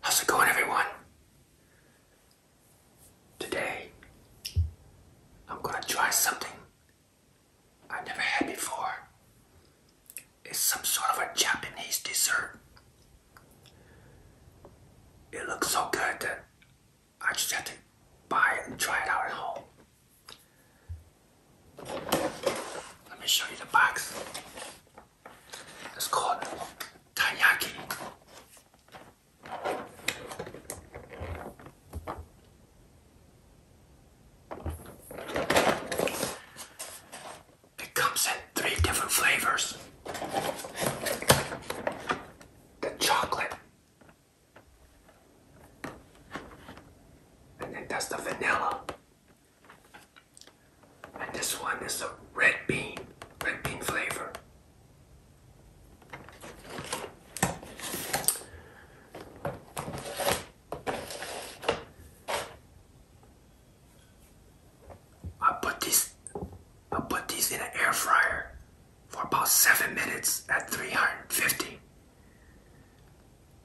How's it going, everyone? Today, I'm gonna try something I have never had before. It's some sort of a Japanese dessert. It looks so good that I just have to buy it and try it out at home. Let me show you the box. It's called Tanyaki. It comes in three different flavors. The chocolate. And then that's the vanilla. And this one is a red bean, red bean flavor. I put these I put these in an air fryer for about seven minutes at 350.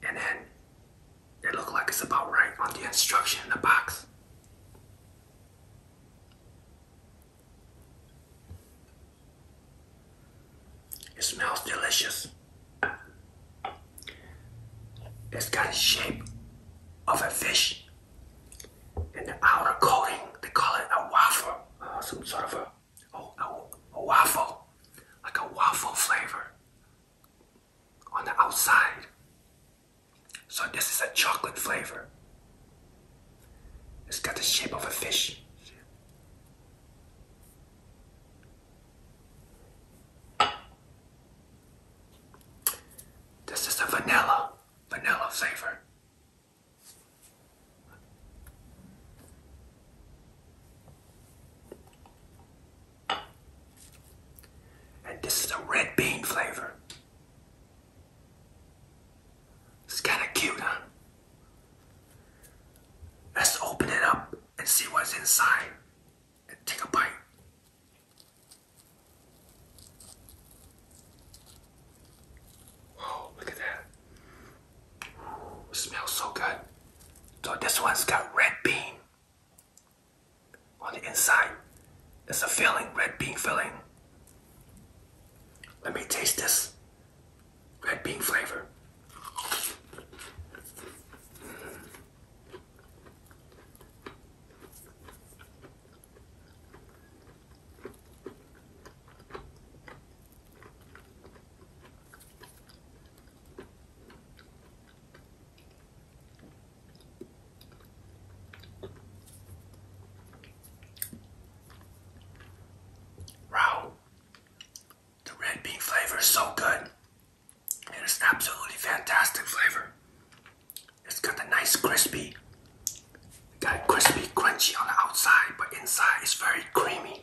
And then it looks like it's about right on the instruction in the box. It smells delicious. It's got the shape of a fish and the outer coating, they call it a waffle, uh, some sort of a, a, a waffle, like a waffle flavor on the outside. So this is a chocolate flavor. It's got the shape of a fish. This is a vanilla, vanilla flavor. And this is a red bean flavor. It's kind of cute, huh? Let's open it up and see what's inside and take a bite. Whoa, look at that. Ooh, smells so good. So this one's got red bean on the inside is a filling, red bean filling. Let me taste this red bean flavor. Wow, the red bean flavor is so good. It is absolutely fantastic flavor. It's got a nice crispy, got crispy, crunchy on the outside, but inside it's very creamy.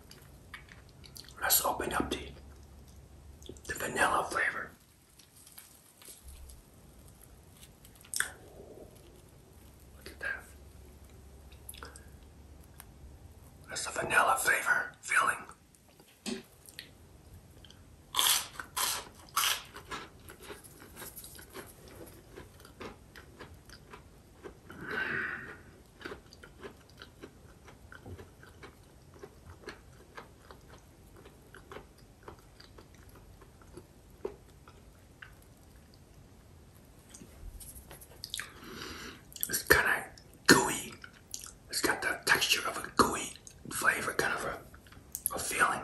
Let's open up the vanilla flavor. Look at that. That's the vanilla flavor filling. It's kind of gooey. It's got the texture of a gooey flavor, kind of a, a feeling.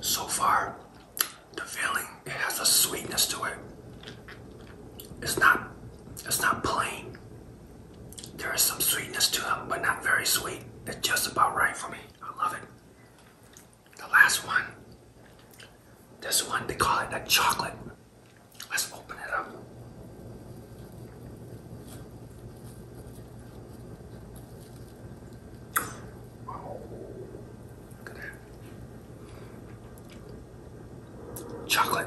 So far, the filling it has a sweetness to it. It's not it's not plain. There is some sweetness to it, but not very sweet. It's just about right for me. I love it. The last one. This one, they call it a chocolate. Let's open it up. Oh, look at that. Chocolate.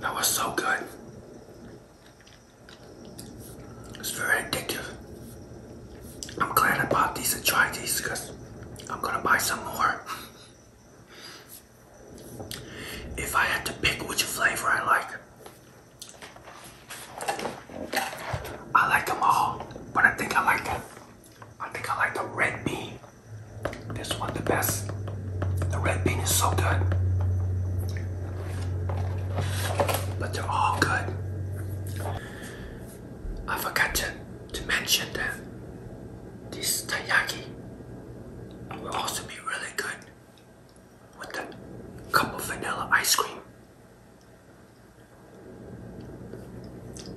That was so good. It's very addictive. I'm glad I bought these and tried these because I'm gonna buy some more. If I had to pick which flavor I like, I like them all, but I think I like the, I think I like the red bean this one the best. The red bean is so good. But they're all good. I forgot to, mention that this taiyaki will also be really good with a cup of vanilla ice cream.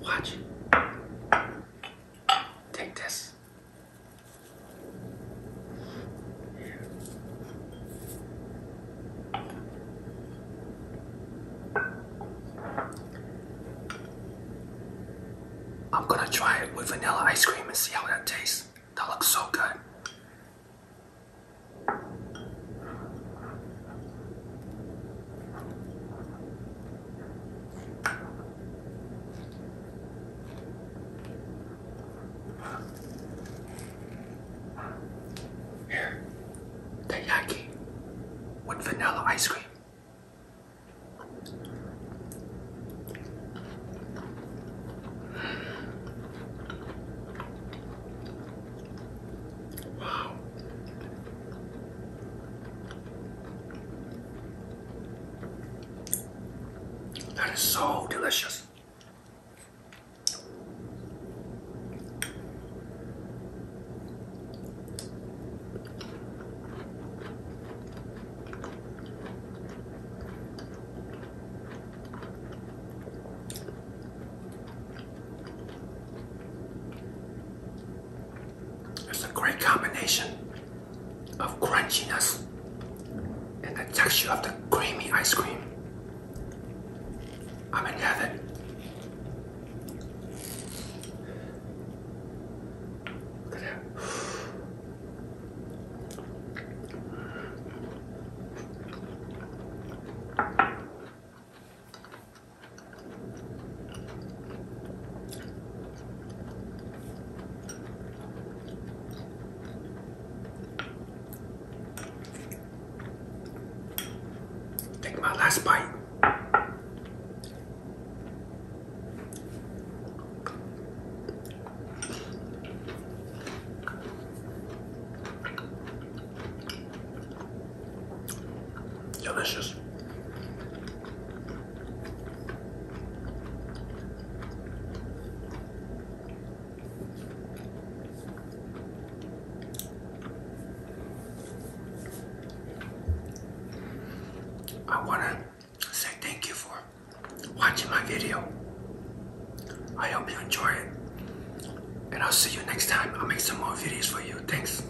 Watch. Take this. I'm gonna try it with vanilla ice cream and see how that tastes. That looks so good. Here, with vanilla ice cream. Wow. That is so delicious. It's a great combination of crunchiness and the texture of the creamy ice cream. I'm in heaven. Look at that. Take my last bite. Delicious. I want to say thank you for watching my video. I hope you enjoy it. And I'll see you next time. I'll make some more videos for you. Thanks.